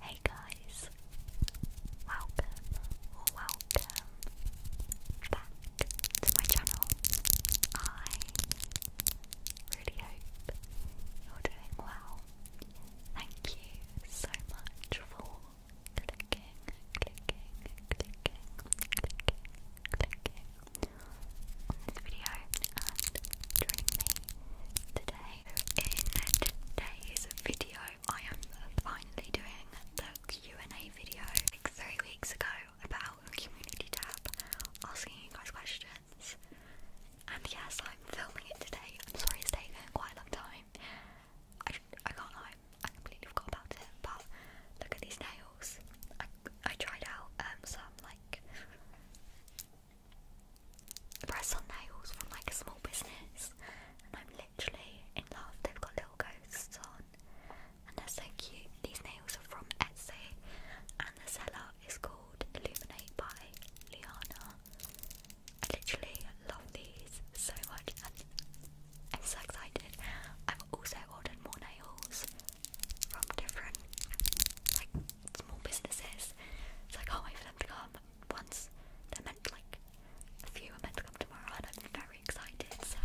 Hey guys, welcome welcome back to my channel. I really hope you're doing well. Thank you so much for clicking, clicking, clicking, clicking, clicking on today. In today's video, I am finally doing the Q&A video like three weeks ago about community tab, asking you guys questions. And yes, I'm filming it today. I'm sorry it's taken quite a long time. I, I can't lie, I completely forgot about it, but look at these nails. I, I tried out um, some like press on nails from like a small business, and I'm literally in love. They've got little ghosts on, and they're so cute. These nails are from Etsy, and the seller is called Illuminate by Liana. I literally love these so much, and I'm so excited. I've also ordered more nails from different like small businesses. It's oh, I can't wait for them to come. Once they're meant like a few are meant to come tomorrow, I'm very excited. So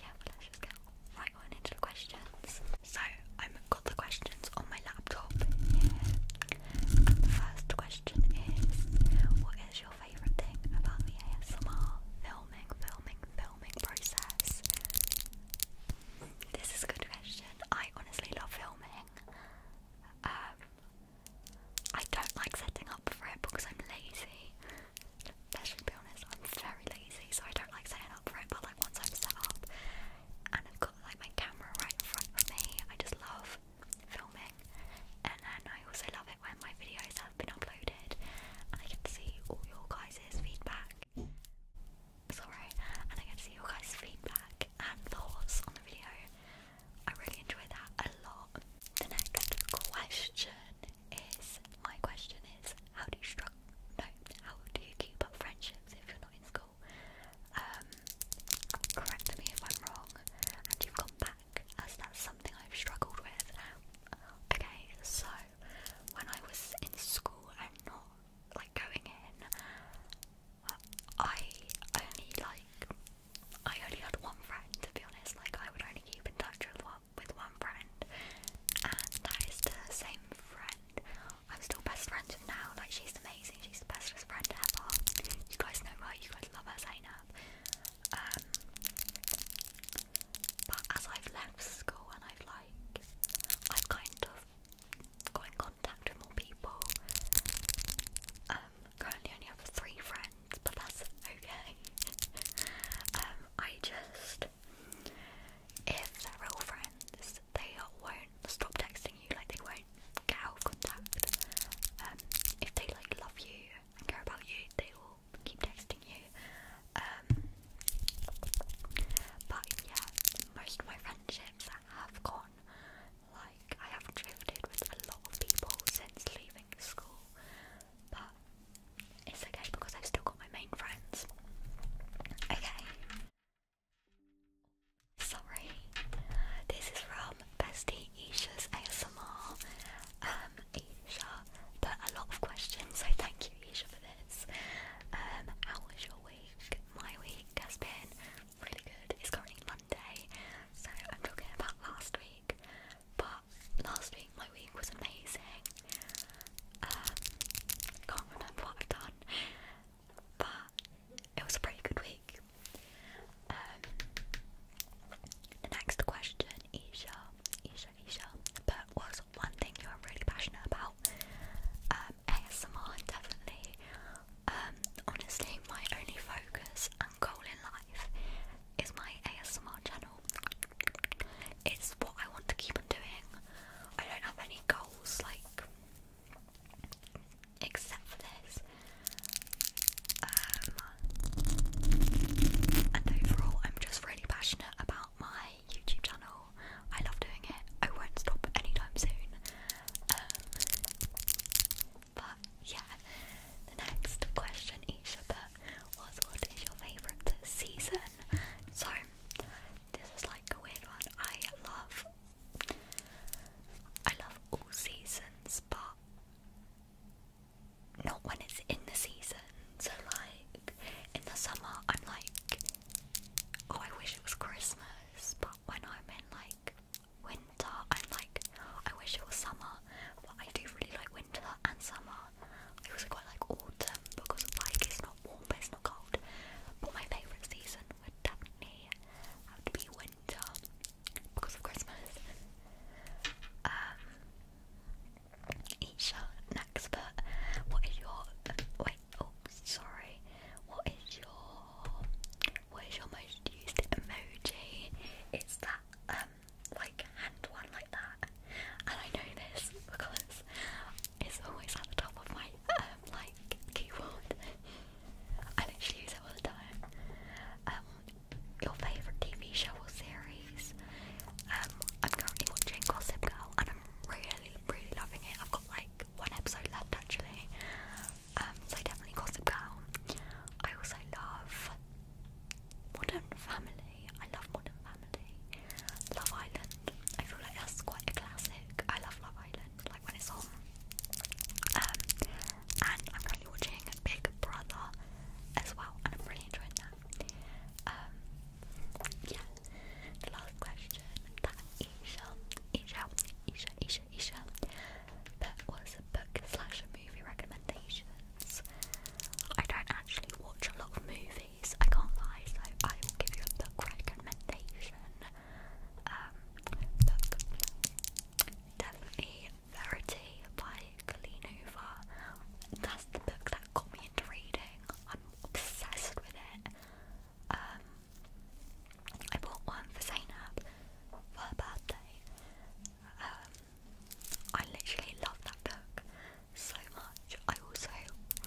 yeah, let's just get right on into the questions. So I've got the questions on my laptop the first question is, what is your favourite thing about the ASMR filming, filming, filming process? This is a good question. I honestly love filming. Um, I don't like setting up for it because I'm lazy. let be honest, I'm very lazy, so I don't like setting up for it. But like once I'm set up and I've got like my camera right in front of me, I just love filming. And then I also love it when my videos have been uploaded and I get see all your guys' feedback sorry, and I get to see your guys' feedback and thoughts on the video. I really enjoy that a lot. The next question is my question is how do you struggle? No, how do you keep up friendships if you're not in school? Um, correct me if I'm wrong, and you've gone back as that's something I've struggled with. Okay, so when I was in school and not like going in, I only like I only had one friend to be honest. Like I would only keep in touch with one with one friend, and that is the same friend. I'm still best friends with now. Like she's amazing. She's the bestest friend ever. You guys know her. You guys love her, Zainab. Um, but as I've left school and I've like I've kind of got in contact with more people. Um, currently only have three friends, but that's okay. um, I just, if they're real friends, they won't stop texting you. Like they won't get out of contact. Um, if they like love you and care about you, they will keep texting you. Um, but yeah, most of my friendships have gone. Like, I have drifted with a lot of people since leaving school, but it's okay because I've still got my main friends. Okay. Sorry. This is from Bestie Isha's ASMR. Um, Isha put a lot of questions, so thank you, Isha, for this. Um, how was your my week has been really good. It's currently Monday, so I'm talking about last week. But last week, my week was amazing. Um, can't remember what I've done, but it was a pretty good week. Um, the next question, Isha, Isha, Isha, but was one thing you're really passionate about. Um, ASMR, definitely. Um, honestly, my only focus and goal in life is my ASMR channel. It's what I want to keep on doing. I don't have any goals like except for this. Um, and overall, I'm just really passionate about my YouTube channel. I love doing it. I won't stop anytime soon. Um, but yeah, the next question Isha put "What is your favourite season?" So this is like a weird one. I love, I love all seasons, but not when it's in the season. So like in the summer, I'm like Oh, I wish it was Christmas, but when I'm in like winter, I'm like, I wish it was summer, but I do really like winter and summer. It was quite like autumn because like it's not warm but it's not cold. But my favourite season would definitely be winter because of Christmas. Um Isha next, what is your wait, oh sorry, what is your what is your most used emoji? It's that um like hand one like that. And I know this because it's always at the top of my um like keyboard. I literally use it all the time. Um, your favourite TV show or series? Um I'm currently watching Gossip Girl i really, really loving it. I've got like one episode left actually, um, so definitely Gossip Girl. I also love Modern Family. I love Modern Family. Love Island. I feel like that's quite a classic. I love Love Island, like when it's on. Um, and I'm currently watching Big Brother as well, and I'm really enjoying that. Um, yeah, last question that Isha, Isha, Isha, Isha, Isha, was a book slash movie recommendations. I don't actually watch a lot of movies, I can't lie, so I will give you a book recommendation. Um, definitely Verity by Kalinova. That's the book that got me into reading. I'm obsessed with it. Um, I bought one for Zainab for her birthday. Um, I literally love that book so much. I also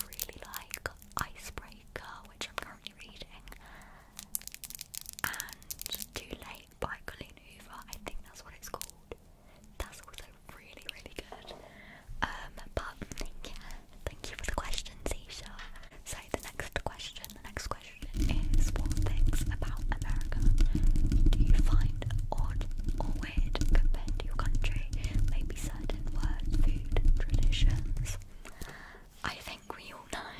really like Icebreaker, which I'm currently reading, and Too Late by Colleen Hoover. I think that's what it's called. That's also really, really good. Um, but yeah, thank you for the question, Seisha. So the next question, the next question is what things about America do you find odd or weird compared to your country? Maybe certain words, food, traditions. I think we all know.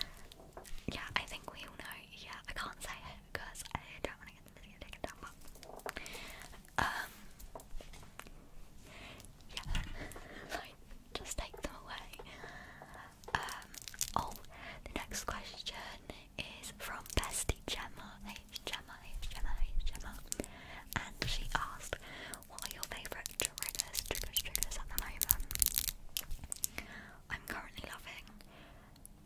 yeah, I think we all know. Yeah, I can't say it because I don't want to get the video taken down, um, yeah. Just take them away. Um, oh, the next question is from Bestie Gemma. H Gemma. H Gemma. H Gemma. And she asked, "What are your favourite triggers? Triggers. Triggers at the moment." I'm currently loving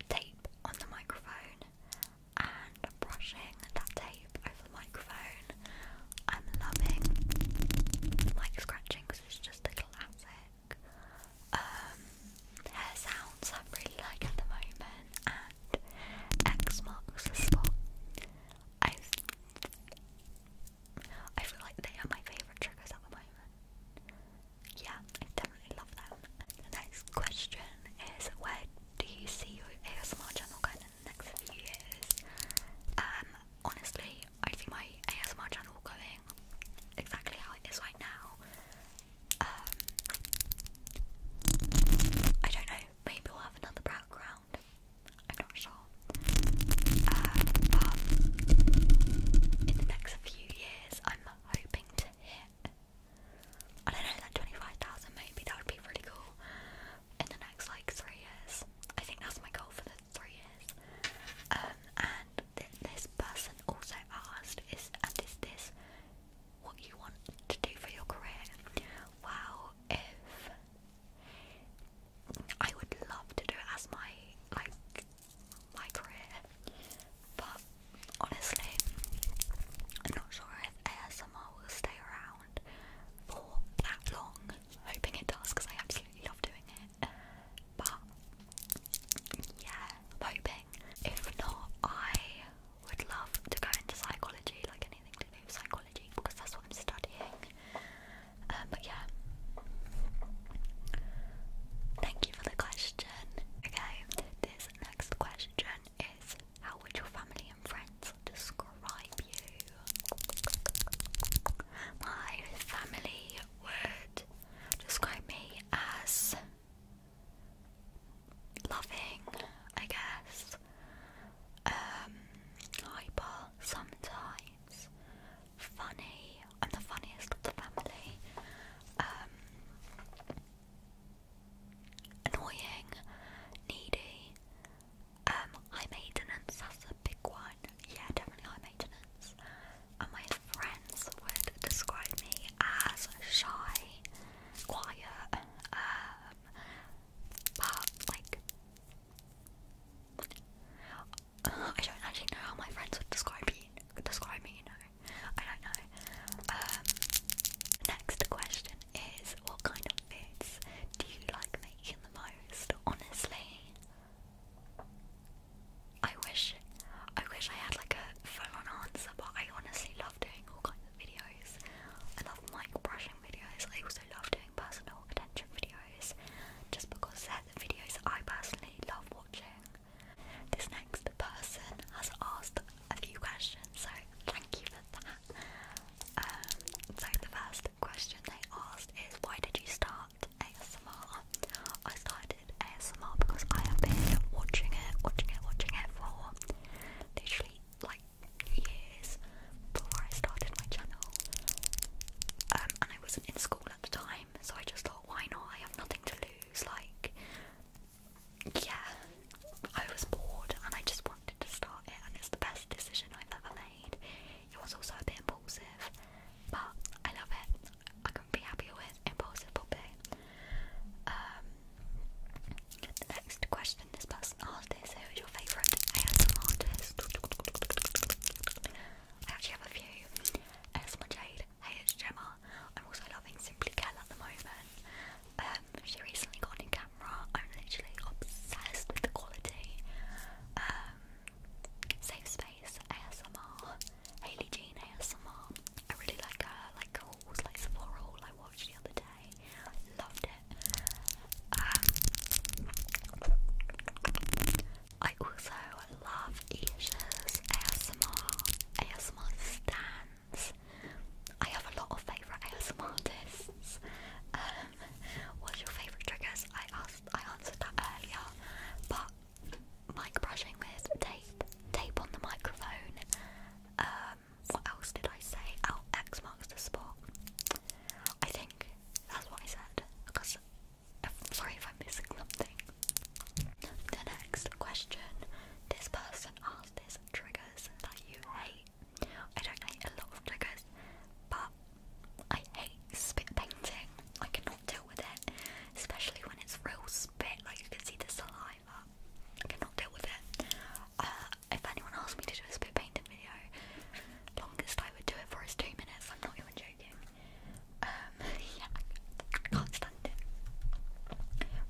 tape on the microphone and brushing that tape over the microphone. I'm loving mic scratching because it's just a classic. Um, hair sounds i really like at the moment, and X marks the spot. I I feel like they are my favourite triggers at the moment. Yeah, I definitely love them. The next question is where do you see your ASMR channel going? next few years. Um, honestly, I see my ASMR channel going exactly how it is right now. Um, I don't know, maybe we'll have another background. I'm not sure. Uh, but in the next few years, I'm hoping to hit I don't know, like 25,000 maybe, that would be really cool in the next like three years. I think that's my goal for the three years. Um, and this person also asked, is and is this what you want to do for your career? Wow, if I would love to do it as my like my career, but honestly, I'm not sure if ASMR will stay around for that long, hoping it does because I absolutely love doing it. But yeah, hoping. If not, I would love to go into psychology, like anything to do with psychology, because that's what I'm studying. Um, but yeah, thank you for the question. Okay, this next question is how would your family and friends describe you? My family would describe me as loving, I guess, um, hyper sometimes, funny. I'm the funniest of the family. Um, Annoying, needy, um, high maintenance, that's a big one. Yeah, definitely high maintenance. And my friends would describe me as shy, quiet, um, but like, I don't actually know how my friends would describe me. Describe me, I don't know. Um, Next question is what kind of foods do you like making the most? Honestly, I wish I wish I had like a full-on answer, but I honestly love doing all kinds of videos. I love mic brushing videos. I also love doing personal attention videos, just because they're the videos I personally love watching. This next person has asked a few questions, so thank you for that. Um, so the first question they asked is, why did you start ASMR? I started ASMR because I have been watching it, watching it, watching it for literally like years before I started my channel. Um, and I wasn't in school at the time, so I just thought, why not? I have nothing to lose. Like, yeah, I was bored and I just wanted to start it, and it's the best decision I've ever made. It was also a bit impulsive, but I love it. I can be happy with impulsive popping. Um, the next question this person asked Who is your favourite ASM artist? I actually have a few. ASMR Jade, Hey It's I'm also loving Simply Kel at the moment. Um, she recently got an I'm literally obsessed with the quality. Um, safe Space ASMR, Haley Jean ASMR. I really like her, like hauls, like Sephora haul I watched the other day. Loved it. Um, I also love Isha's ASMR, ASMR Stan. I have a lot of favourite ASM artists. Um, what's your favourite triggers? I asked I answered that earlier. But mic brushing with tape, tape on the microphone. Um, what else did I say? Oh, X marks the spot. I think that's what I said. Because I'm sorry if I'm missing something. The next question this person asked is triggers that you hate. I don't hate a lot of triggers, but I hate spit painting. I cannot deal with it, especially when it's real spit, like you can see the saliva. I cannot deal with it. Uh, if anyone asked me to do a spit painting video, longest I would do it for is two minutes. I'm not even joking. Um, yeah, I can't stand it.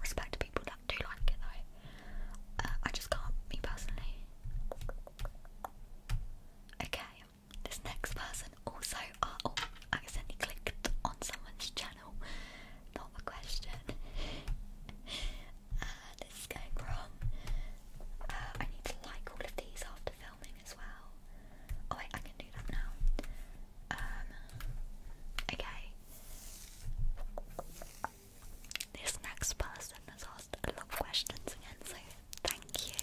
Respect people I do like it though. Uh, I just can't, me personally. Okay, this next person also. Uh, oh, accidentally clicked on someone's channel. Not a question. Uh, this is going wrong. Uh, I need to like all of these after filming as well. Oh wait, I can do that now. Um, okay. This next person has asked a lot of questions again, so thank you.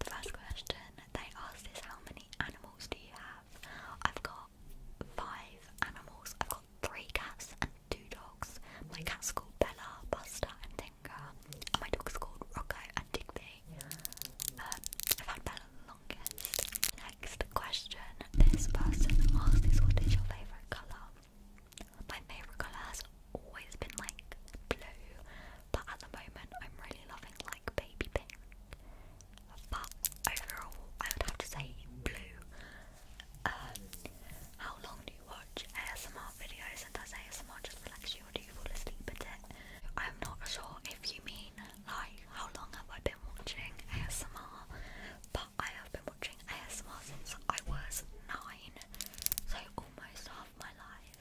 The first question they asked is how many animals do you have? I've got five animals. I've got three cats and two dogs. My cat's called Bella, Buster, and Tinker. my dog's called Rocco and Digby. Um, I've had Bella the longest next question. This person asked is what is your favourite colour? My favourite colour has always been like blue, but at the moment I'm really loving like baby pink. But overall, I would have to say blue. Um, how long do you watch ASMR videos and does ASMR just relax you or do you fall asleep at it? I'm not sure if you mean like how long have I been watching ASMR, but I have been watching ASMR since I was nine, so almost half my life.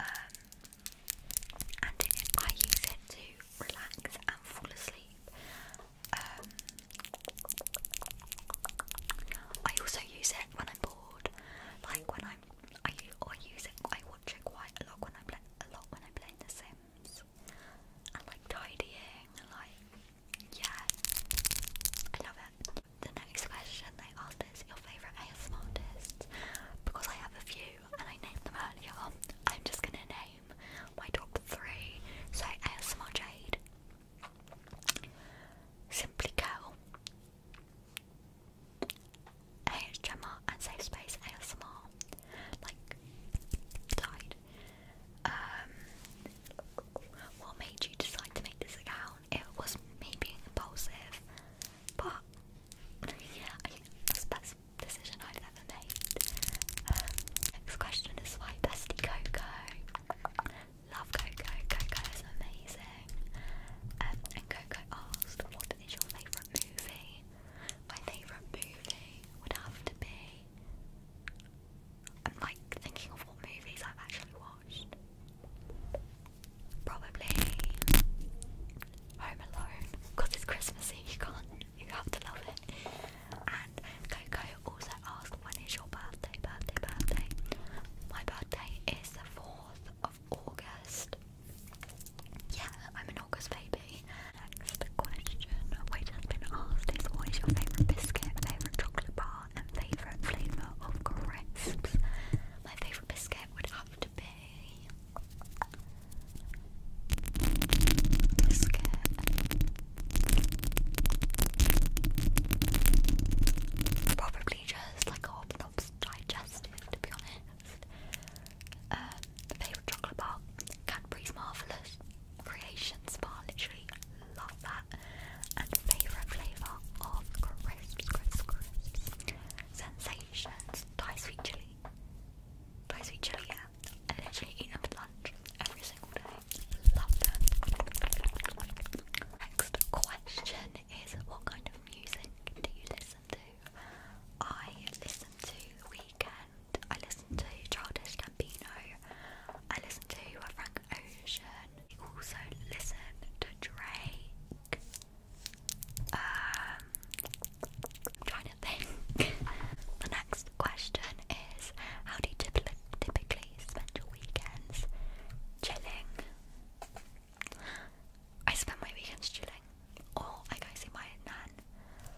Um, and it, I use it to relax and fall asleep. Um, I also use it when I'm bored, like when I'm. I, I use it. I watch it quite a lot when I play a lot when I play The Sims. I like tidying, like, yeah, I love it. The next question they asked is your favourite ASMR artists. Because I have a few and I named them earlier, I'm just gonna name my top three. So ASMR Jade, Simply Curl, AHMR and Safe Space ASMR. Like, died. Um, what made you decide to make this account? It was me being impulsive, but yeah, that's the best decision I've ever made. Um, next question is why bestie Coco? Love Coco. Coco is amazing. Um, and Coco asked, "What is your favourite movie?" My favourite movie would have to be I'm like thinking of what movies I've actually watched. Probably Home Alone, because it's Christmassy, you can't, you have to love it. And Coco also asked, when is your birthday, birthday, birthday? My birthday is the 4th of August. Yeah, I'm an August baby. Okay, next question. Which has been asked is what is your favourite biscuit, favourite chocolate bar, and favourite flavour of crisps? My favourite biscuit would have to be biscuit. Probably just like a Hobnobs digestive, to be honest. Um, favourite chocolate bar, Cadbury's Marvellous creation spa. Literally love that. And favorite flavor of crisps, crisps, crisps. Sensations, Thai sweet chili. Thai sweet chili, yeah. I literally eat them for lunch every single day. Love them. Next question is what kind of music do you listen to? I listen to weekend. I listen to Childish Gambino. I listen to Frank Ocean. I also listened to Drake. Um, trying to think. the next question is, how do you typically, typically spend your weekends? Chilling. I spend my weekends chilling, or I go see my nan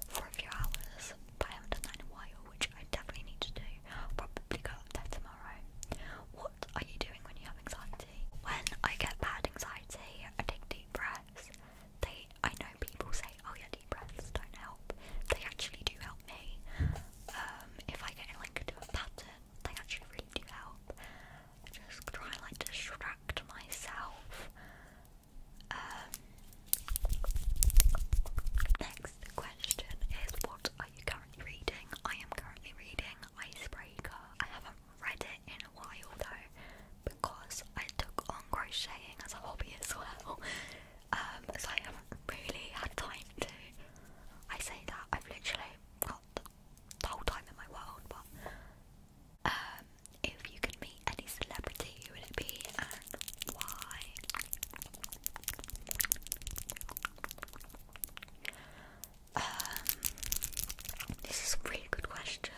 for a few hours, but I haven't done that in a while, which I definitely need to do. I'll probably go up there tomorrow. What are you doing when you have anxiety? When I get bad anxiety, I take deep breaths. They, I know people say, oh yeah, deep breaths don't help. They actually do help me. Um, if I get in like into a pattern, they actually really do help. I just try and like distract myself um, next question is what are you currently reading? I am currently reading Icebreaker. I haven't read it in a while though because I took on crocheting as a hobby as well. Um, so I haven't really had time to. I say that I've literally got the whole time in my world, but um, if you could meet any celebrity, who would it be and why? Um, this is a really good question.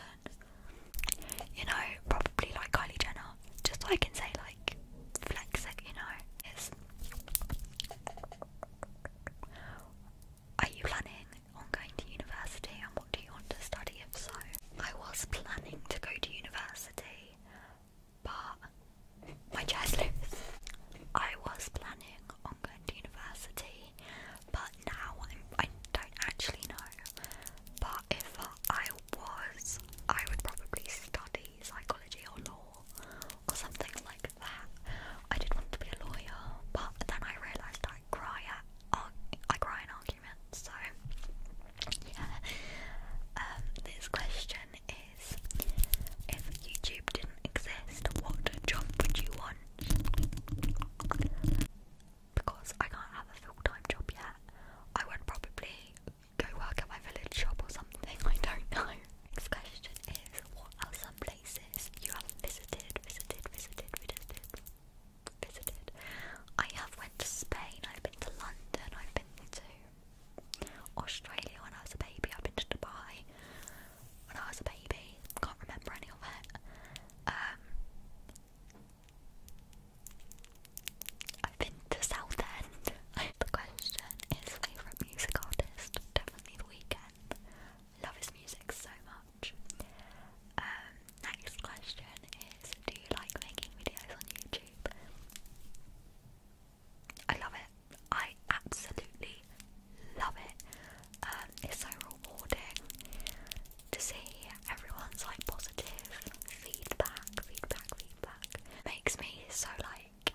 You know, probably like Kylie Jenner, just so I can say like flex it. You know, it's. Are you planning on going to university, and what do you want to study? If so, I was planning to go to university but my chair's loose. I was planning on going to university, but now I'm, I do not actually know. But if I was, I would probably study psychology or law or something like that. I did want to be a lawyer, but then I realised I cry at I cry in so yeah. Um, this question is if YouTube didn't exist, what job would you want? Because I can't have a full time job yet, I would probably go work at my village shop or something, I don't know. Next question is what are some places you have visited, visited, visited, visited? visited. I have went to Spain, I've been to London, I've been to Australia when I was a baby, I've been to Dubai when I was a baby, can't remember any of it. Um, I've been to Southend. the question is favourite music artist, definitely The Weeknd. Love his music so much. Um, Next question is Do you like making videos on YouTube? I love it. I absolutely love it. Um, it's so rewarding to see everyone's like positive feedback, feedback, feedback. Makes me so like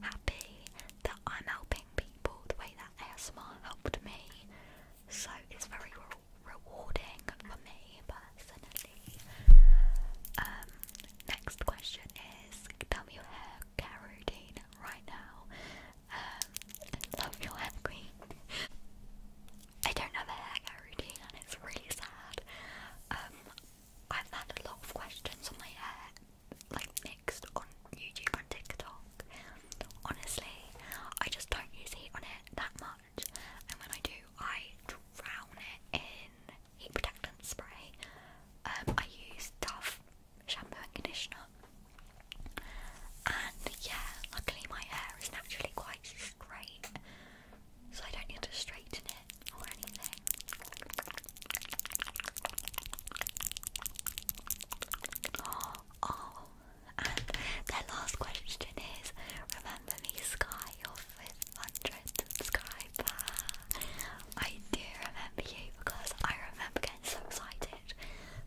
happy that I'm helping people the way that ASMR helped me. So it's very rewarding for me personally. Um, next question is tell me your hair care routine right now. Um, love your hair queen. I don't have a hair care routine and it's really sad. Um, I've had a lot of questions on my hair, like mixed on YouTube and TikTok. Honestly, I just don't use heat on it that much and when I do, I drown it in heat protectant spray. Um, I use Dove shampoo and conditioner, and yeah, luckily my hair is naturally quite straight, so I don't need to straighten it or anything. oh and their last question is Remember me, Sky, your hundred subscriber. I do remember you because I remember getting so excited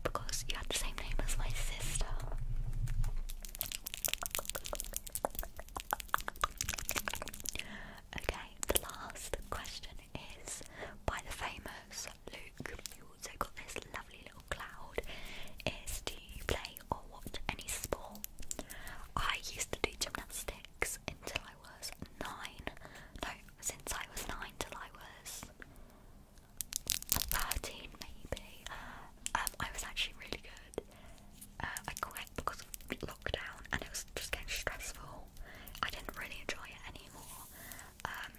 because you had the same name as my sister. Okay, the last question is by the famous Luke. You also got this do you play or watch any sport? I used to do gymnastics until I was nine. No, since I was nine till I was 13 maybe. Um, I was actually really good. Uh, I quit because of lockdown and it was just getting stressful. I didn't really enjoy it anymore. Um,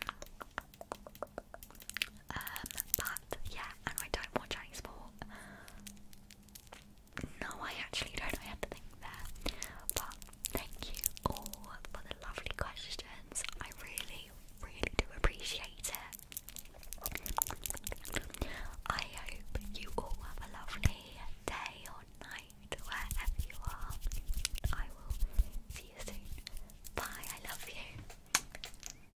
um, but yeah, and I don't watch any sport. No, I actually don't. I had to think there. But thank you all for the lovely questions. I really, really do appreciate it. I hope you all have a lovely day or night wherever you are. I will see you soon. Bye. I love you.